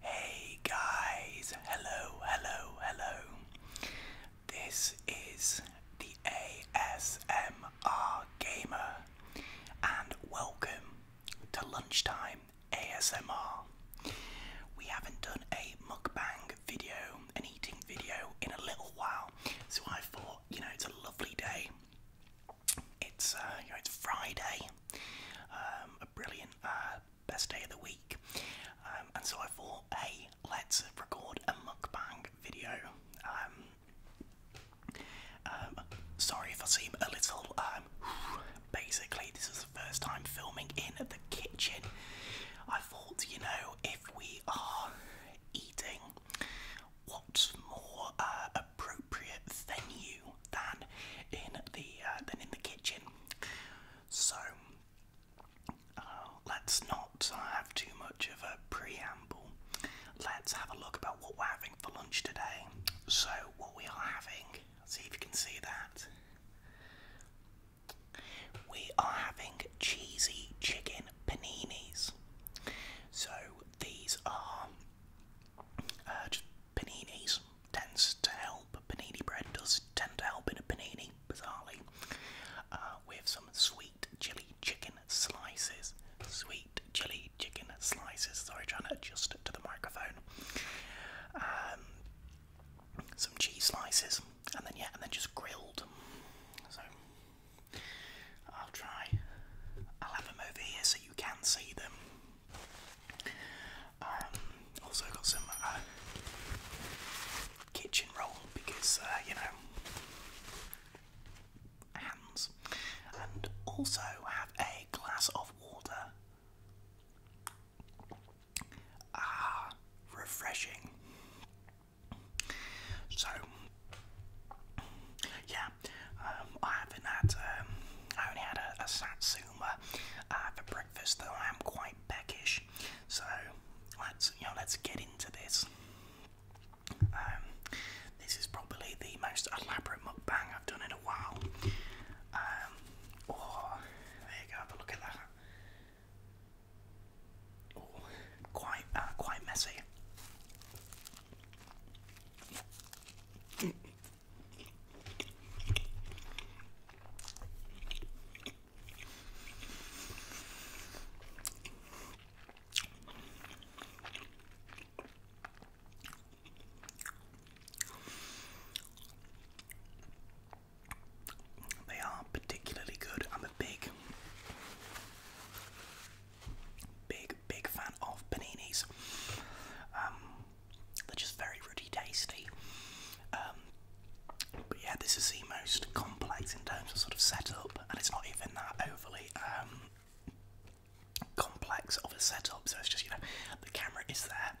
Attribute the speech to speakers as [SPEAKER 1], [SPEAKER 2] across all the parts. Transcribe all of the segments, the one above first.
[SPEAKER 1] Hey guys, hello, hello, hello. This is the ASMR Gamer, and welcome to Lunchtime ASMR. We haven't done a mukbang video, video in a little while. So I thought, you know, it's a lovely day. It's uh, you know, it's Friday, um, a brilliant uh, best day of the week, um, and so I thought, hey, let's record a mukbang video. Um, um, sorry if I seem a little. Um, basically, this is the first time filming in the kitchen. I thought, you know, if we are eating, what's more uh, appropriate venue than in the uh, than in the kitchen? So uh, let's not have too much of a preamble. Let's have a look about what we're having for lunch today. So what we are having, see if you can see that we are having cheesy chicken paninis. So these are uh, just paninis. Tends to help. Panini bread does tend to help in a panini, bizarrely. Uh, with some sweet chili chicken slices. Sweet chili chicken slices. Sorry, trying to adjust it to the microphone. Um, some cheese slices, and then yeah, and then just grilled. So I'll try. I'll have them over here so you can see them. Um, also got some uh, kitchen roll because uh, you know hands, and also have a glass of water. Ah, refreshing. So, yeah, um, I haven't had, um, I only had a, satsuma uh, for breakfast, though I am quite peckish. So, let's, you know, let's get into this. Um, this is probably the most elaborate mukbang I've done in a while. oh, there you go, have look at that. Ooh, quite, uh, quite messy. They are particularly good. I'm a big, big, big fan of paninis. Um, they're just very ruddy, tasty. Um, but yeah, this is the most complex in terms of sort of setup, and it's not even that overly um, complex of a setup. So it's just you know, the camera is there.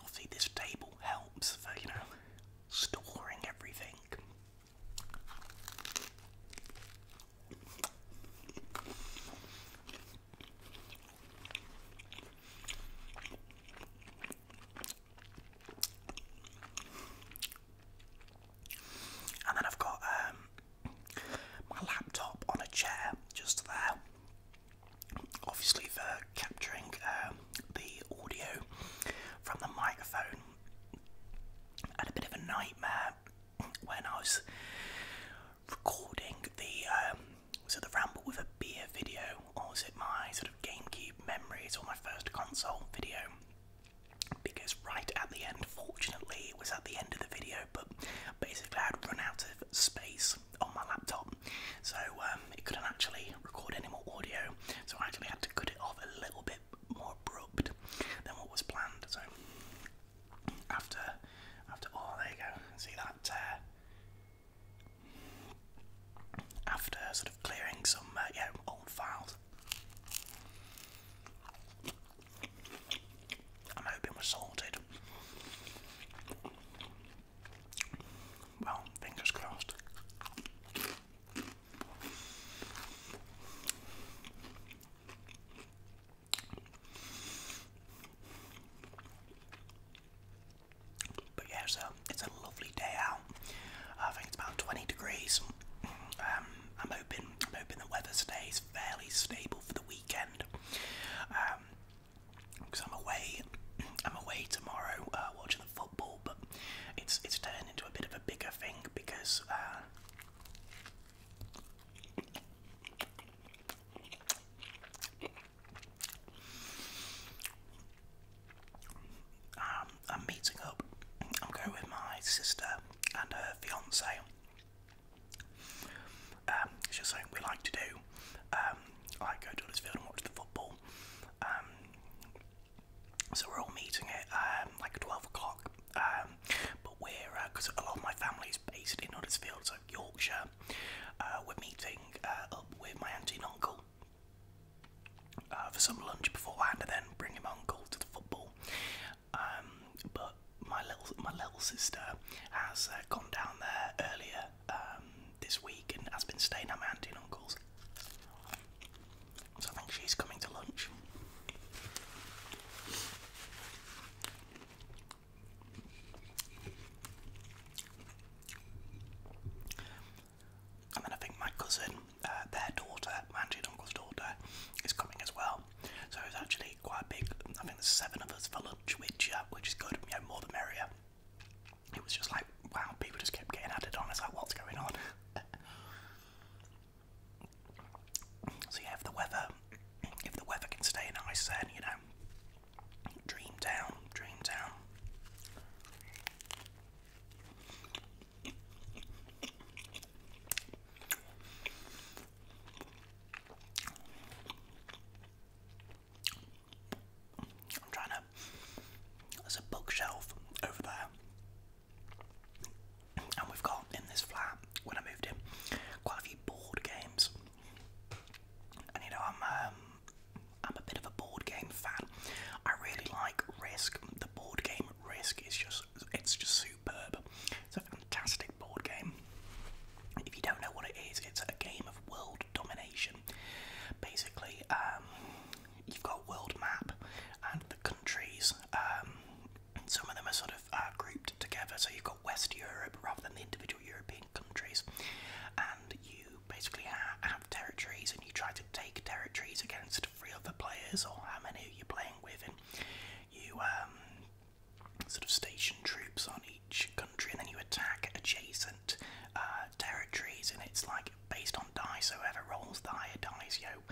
[SPEAKER 1] Obviously, this table helps for you know storing everything and then I've got um, my laptop on a chair just there, obviously for capturing um, the audio from the microphone. had a bit of a nightmare when I was recording the um, the ramble with a beer video, or was it my sort of GameCube memories or my first console video? Because right at the end, fortunately, it was at the end of the video, but basically I'd run out of space on my laptop, so um, it couldn't actually record any more audio, so I actually had to cut it off a little bit more abrupt than what was planned. So after, after oh there you go, see that. Uh, after sort of clearing some uh, old files. I'm hoping we're sorted. Well, fingers crossed. But yeah, so it's a lovely day out. I think it's about 20 degrees. Um, I'm hoping, I'm hoping the weather stays fairly stable for the weekend. because um, I'm away, I'm away tomorrow uh, watching the full it's it's turned into a bit of a bigger thing because uh, um, I'm meeting up. I'm going with my sister and her fiance. Um, it's just something we like to do. Um, I go to Huddersfield and watch the football. Um, so we're all meeting at um, like 12 o'clock. Um, but we're, because uh, a lot of my family is based in Huddersfield, so Yorkshire, uh, we're meeting uh, up with my auntie and uncle for some lunch beforehand and then bring him uncle to the football. Um, but my little my little sister has gone down there earlier this week and has been staying at my auntie and uncle's. So I think she's coming to lunch. And then I think my cousin, uh, their daughter, my aunt and uncle's daughter, is coming as well. So it's actually quite big. I think there's seven of us for lunch, which uh, which is good. You know, more the merrier it was just like, wow, people just kept getting added on. It's like, what's going on? so yeah, if the weather, if the weather can stay nice, then you know, dream down, dream down. I'm trying to there's a bookshelf over there. And we've got in this flat, when I moved in, quite a few board games. And you know, I'm um, I'm a bit of a board game fan. I really like Risk. The board game Risk is just it's just superb. It's a fantastic board game. If you don't know what it is, it's a game of world domination. Basically, um, you've got world map and the countries. Um, some of them are sort of uh, grouped together, so you've got West Europe rather than the individual European countries, and you basically have territories and you try to take territories against three other players or how many you're playing with, and you um, sort of station troops on each country and then you attack adjacent uh, territories, and it's like based on dice. whoever rolls the higher dice, you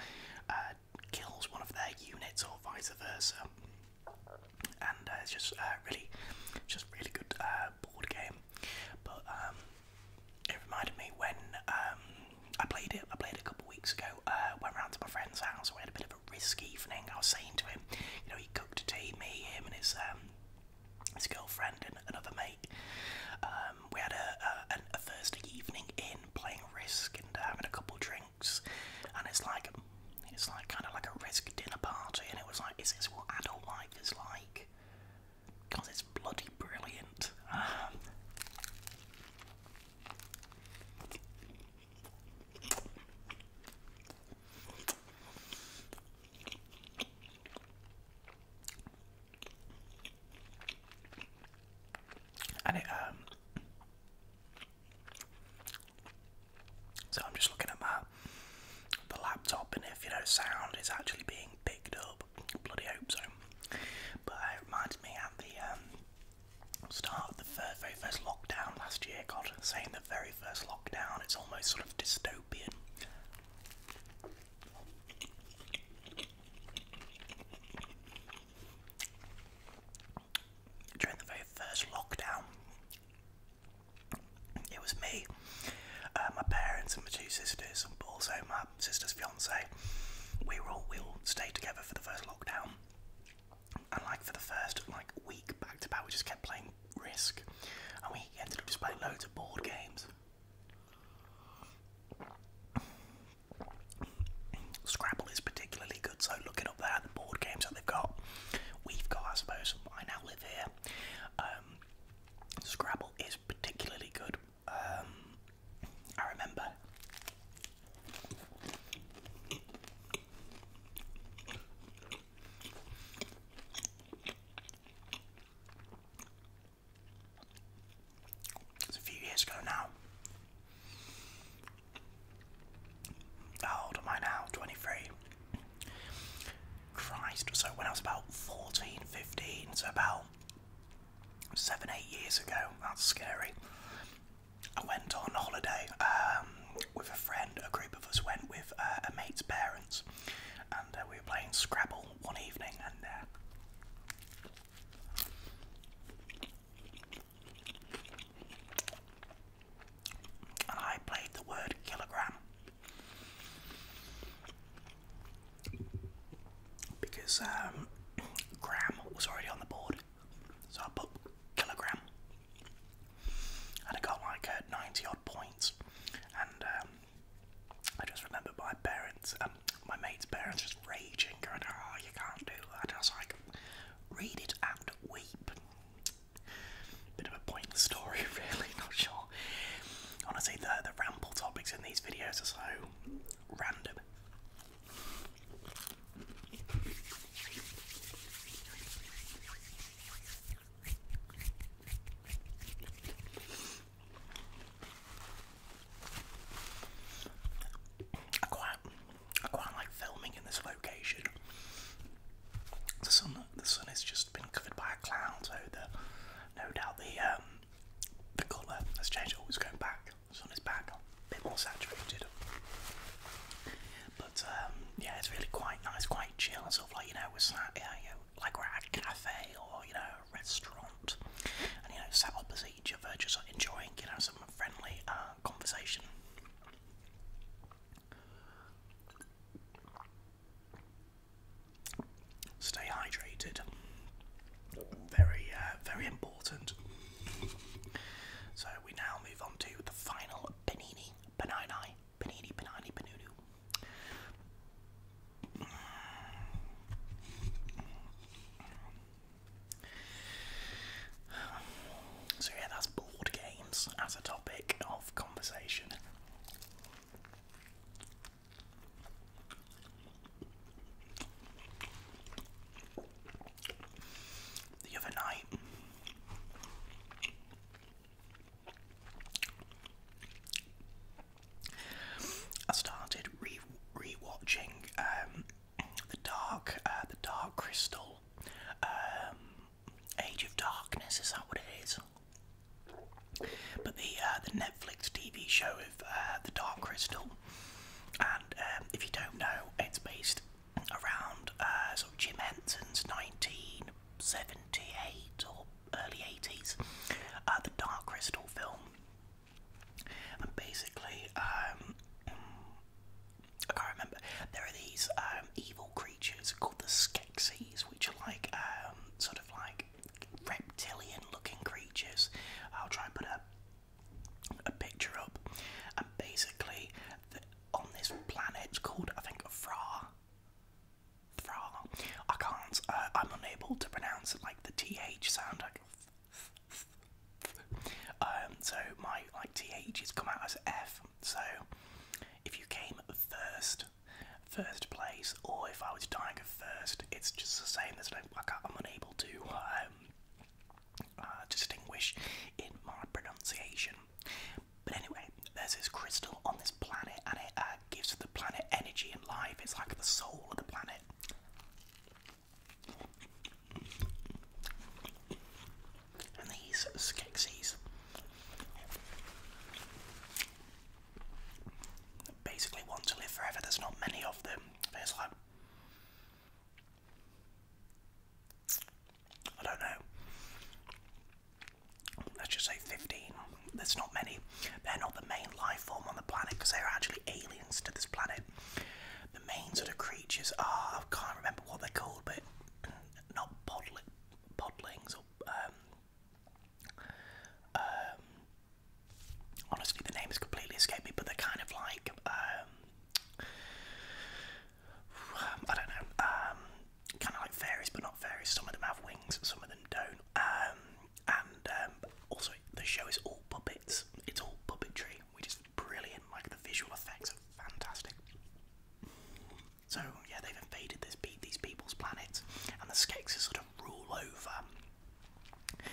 [SPEAKER 1] uh, kills one of their units or vice versa. And uh, it's just uh, really, just really good uh, board game. But um, it reminded me when um, I played it. I played a couple of weeks ago. Uh, went round to my friend's house. We had a bit of a risk evening. I was saying to him, you know, he cooked a tea, me, him, and his um, his girlfriend, and another mate. Um, we had a, Thursday evening in playing Risk and uh, having a couple drinks, and it's like it's like kind of like a Risk dinner party, and it was like, is this what adult life is like? Because it's bloody brilliant. Um, and um, so I'm just looking at my the laptop, and if you know, sound is actually being picked up. Bloody hope so. But uh, it reminds me at the um, start of the very first lockdown last year. God, saying the very first lockdown, it's almost sort of dystopian. During the very first lockdown, it was me, uh, my parents, and my two sisters, and also my sister's fiance. We were all we all stayed together for the first lockdown, and like for the first like week back to back, we just kept playing Risk, and we ended up just playing loads of board games. Scrabble is particularly good, so looking it up there. The board games that they've got, we've got, I suppose. I now live here. Um, Scrabble is particularly good. Um, I remember. It's a few years ago now. How old am I now? 23. Christ, so when I was about 14, 15, so about 7, 8 years ago, that's scary. I went on holiday um, with a friend, a group of us went with uh, a mate's parents, and uh, we were playing Scrabble one evening, and uh, I played the word kilogram because um, gram was already on the board, so I put kilogram. And I got like 90 odd points, and um, I just remember my parents um, my mate's parents just raging, going, "Oh, you can't do that." I was like, "Read it and weep." Bit of a pointless story, really. Not sure. Honestly, the the ramble topics in these videos are so random. I quite, I quite like filming in this location. The sun, the sun has just been covered by a cloud, so the, no doubt the um, the colour has changed. Oh, it's going back. sun is back, a bit more saturated. But um, yeah, it's really quite nice, quite chill and sort of like you know we're sat, yeah, you like we're at a cafe or you know restaurant and you know sat opposite each other just enjoying you know some friendly uh, conversation stay hydrated very uh, very important so we now move on to the final panini panini panini panini panunu so, yeah, that's board games as a topic of conversation. The other night, I started re rewatching um, the Dark, uh, the Dark Crystal, um, Age of Darkness. Is that what it is? But the uh, the Netflix TV show of uh, the Dark Crystal, and um, if you don't know, it's based around uh, of Jim Henson's 1978 or early 80s, the Dark Crystal film. And um, basically, um, I can't remember. There are these um, evil creatures called the Skeksis, which are like sort of like reptilian-looking creatures. I'll try and put a a picture up. And basically, on this planet it's called I think Fra. Fra. I can't. Uh, I'm unable to pronounce it like the th sound. Um, so my like th has come out as F. So if you came first, first place, or if I was dying of first, it's just the same. There's no I am unable to um, uh, distinguish in my pronunciation. But anyway, there's this crystal on this planet, and it uh, gives the planet energy and life. It's like the soul of the planet. And these Skeksis basically want to live forever. There's not many of them. There's like I don't know. Let's just say 15. There's not many. They're not the main life form on the planet because they're actually aliens to this planet. The main sort of creatures are, I can't remember what they're called, but not podli podlings or. Um, um honestly, the name has completely escaped me, but they're kind of like. Um, I don't know. Um, kind of like fairies, but not fairies. Some of them have wings, some of them don't. Um, and um, also the show is all puppets. It's all puppetry, which is brilliant. Like the visual effects are fantastic. So yeah, they've invaded this these people's planets, and the Skeksis sort of rule over,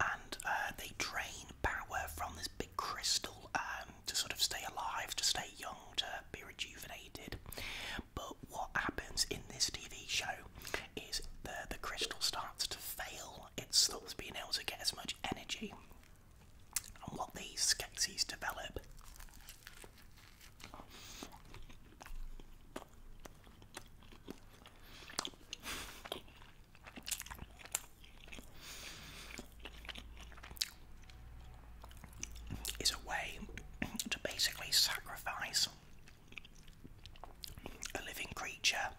[SPEAKER 1] and uh, they drain power from this big crystal um, to sort of stay alive, to stay young, to be rejuvenated. But what happens in this TV show is the the crystal starts to fail well, it's thus being able to get as much energy. And what these Skeksis develop is a way to basically sacrifice a living creature,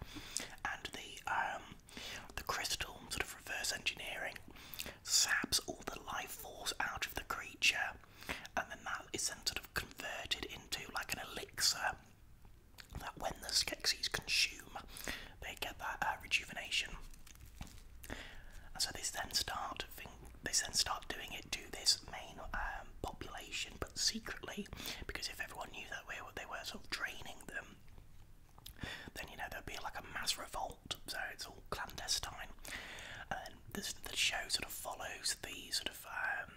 [SPEAKER 1] and the um, the crystal sort of reverse engineering saps all the life force out of the creature, and then that is then sort of converted into like an elixir that when the Skeksis consume, they get that uh, rejuvenation. And so they then start they then start doing it to this main um, population but secretly, because if everyone knew that way, what they were sort of draining them, then you know there'd be like a mass revolt. So it's all clandestine, and the show sort of follows the sort of um,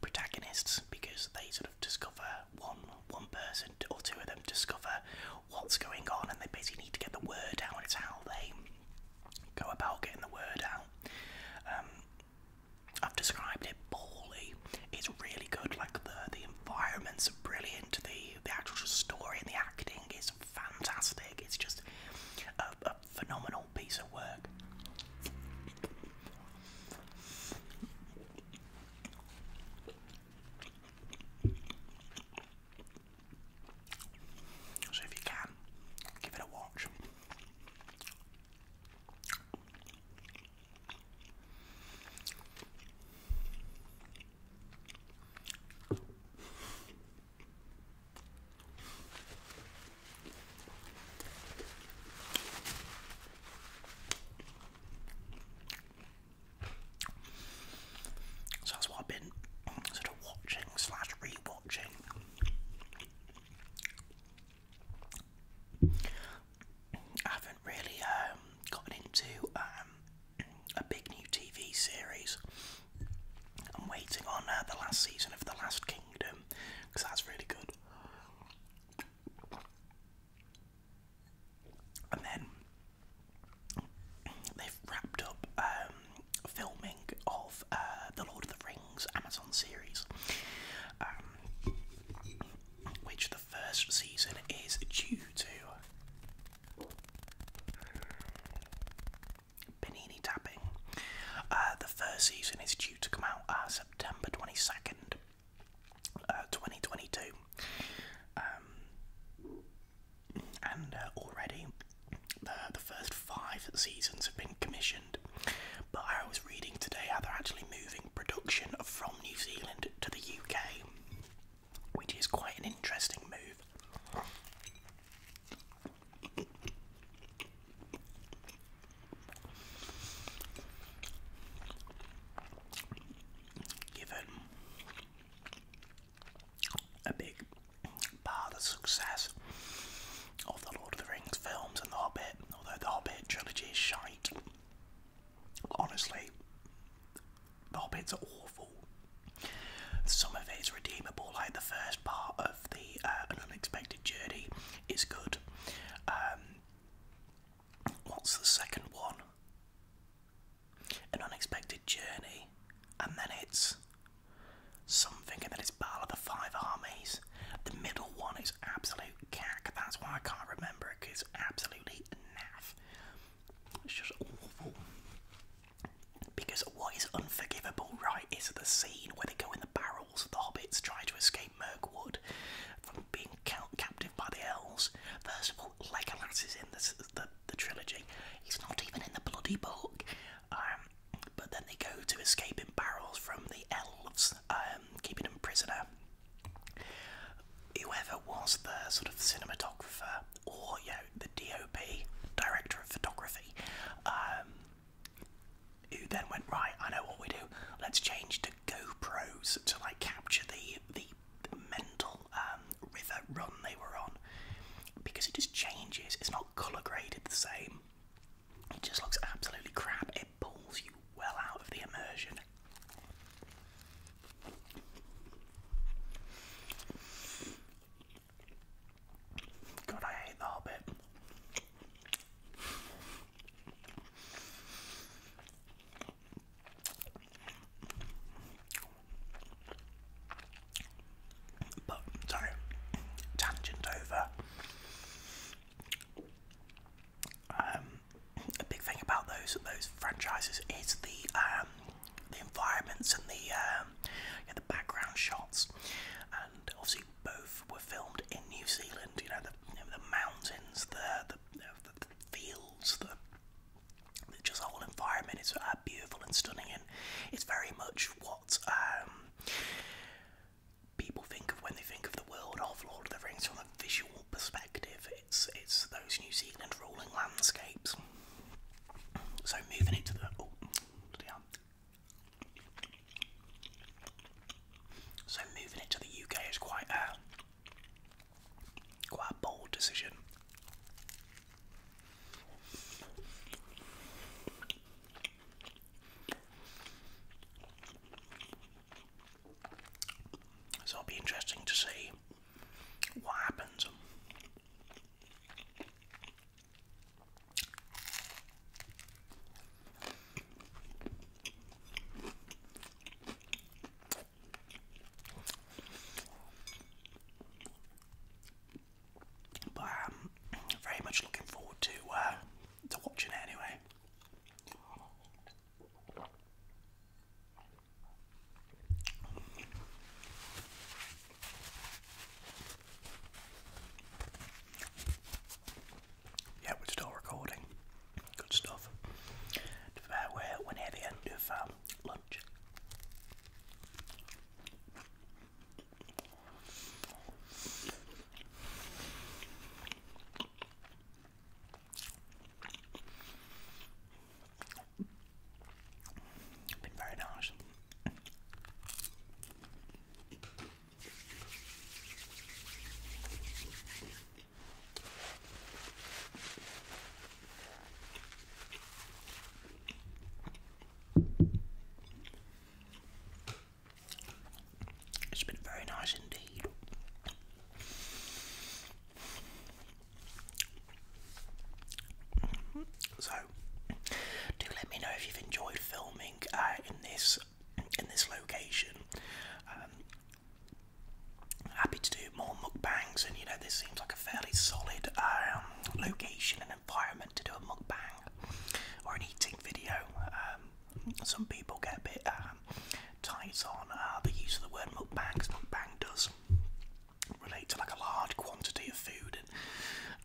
[SPEAKER 1] protagonists because they sort of discover one one person or two of them discover what's going on, and they basically need to get the word out. It's how they go about getting the word out. Um, I've described it poorly. It's really good. Like the the environments are brilliant. The the actual story and the acting is fantastic. It's just a, phenomenal piece of work. So if you can, give it a watch. So that's what I've been sort of watching slash rewatching. I haven't really um, gotten into um, a big new TV series. I'm waiting on uh, the last season of The Last Kingdom because that's really good. And then they've wrapped up um, filming of uh, The Lord of the Rings. Amazon series, um, which the first season is due to Panini tapping. Uh, the first season is due to come out uh, September uh, twenty second, twenty twenty two. Um, and already the first five seasons have been commissioned, but I was reading today how they're actually moving production from New Zealand to the UK, which is quite an interesting move. Given a big part of success of the Lord of the Rings films and The Hobbit, although The Hobbit trilogy is shite Honestly, the Hobbits are awful. Some of it is redeemable, like the first part of the uh, An Unexpected Journey is good. Um, what's the second one? An Unexpected Journey, and then it's something, and then it's Battle of the Five Armies. The middle one is absolute that's why I can't remember it because absolutely naff. It's just awful. Because what is unforgivable, right, is the scene where they go in the barrels of the hobbits trying to escape Mirkwood from being ca captive by the elves. First of all, Legolas is in the, the trilogy. He's not even in the bloody book. Um, but then they go to escape in barrels from the elves. Um, um, keeping him prisoner. Whoever was the sort of cinematographer or you know the DOP, director of photography, um, who then went right. I know what we do. Let's change to GoPros to like capture the the mental um, river run they were on because it just changes. It's not color graded the same. It just looks absolutely crap. It pulls you well out of the immersion. God, I hate the Hobbit. But sorry, tangent over. Um, a big thing about those those franchises is the um, the environments and the um, the background shots, and obviously both were filmed in New Zealand. You know the the mountains, the the, fields, the just whole environment is uh, beautiful and stunning, and it's very much what um, people think of when they think of the world of Lord of the Rings from a visual perspective. It's it's those New Zealand rolling landscapes. So moving into the oh, So moving it the UK is quite a quite a bold decision. So it'll be interesting to see what happens. But I'm um, very much looking forward to uh, to watching it anyway. Yeah, we're still recording. Good stuff. We're, we're um, lunch. Been very nice. It's been very nice indeed. So, do let me know if you've enjoyed filming uh, in this in this location. Um, happy to do more mukbangs, and you know this seems like a fairly solid um, location and environment to do a mukbang or an eating video. Um, some people get a bit um, tight on uh, the use of the word mukbang because mukbang does relate to like a large quantity of food and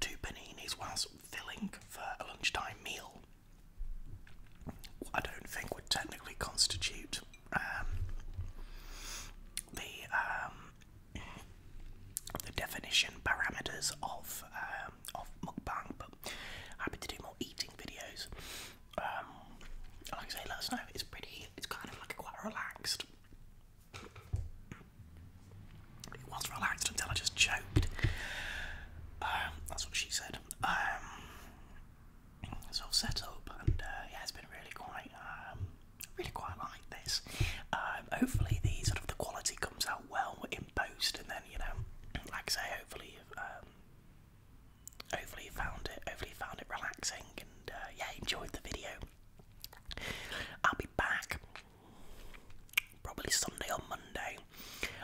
[SPEAKER 1] two paninis whilst filling for a lunchtime meal. I don't think would technically constitute um, the um, the definition parameters of um, of mukbang, but happy to do more eating videos. Um, like I say, let us It's pretty. It's kind of like quite relaxed. It was relaxed until I just choked. Um, that's what she said. Um, so set up, and uh, yeah, it's been really quite, really quite like this. hopefully, the sort of the quality comes out well in post, and then you know, like I say, hopefully, hopefully you found it. Hopefully found it relaxing and uh, yeah, enjoyed the video. I'll be back probably Sunday or Monday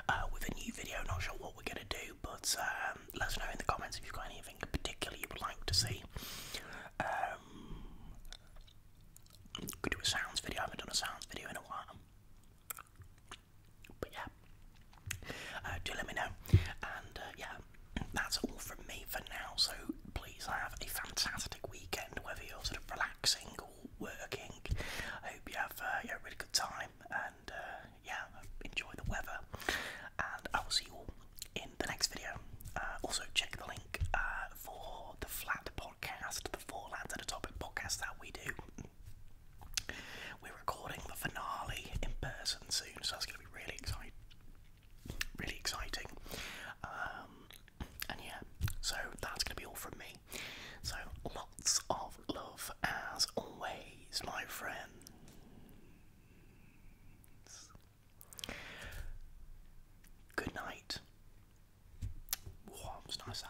[SPEAKER 1] uh, with a new video. Not sure what we're gonna do, but um, let us know in the comments if you've got anything in particular you would like to see. Um, could do a sounds video. I haven't done a sounds video in a while. But yeah, uh, do let me know. And uh, yeah, that's all from me for now. So please have a fantastic weekend, whether you're sort of relaxing or working. I hope you have uh, a really good time and yeah, enjoy the weather. And I will see you in the next video. also, check the link for the flat podcast, the four lands at a topic podcast that we do. We're recording the finale in person soon, so that's going to be really exciting. Really exciting. Um, and yeah, so that's going to be all from me. So lots of love as always, my friends. Good night. Wow, it's nice that.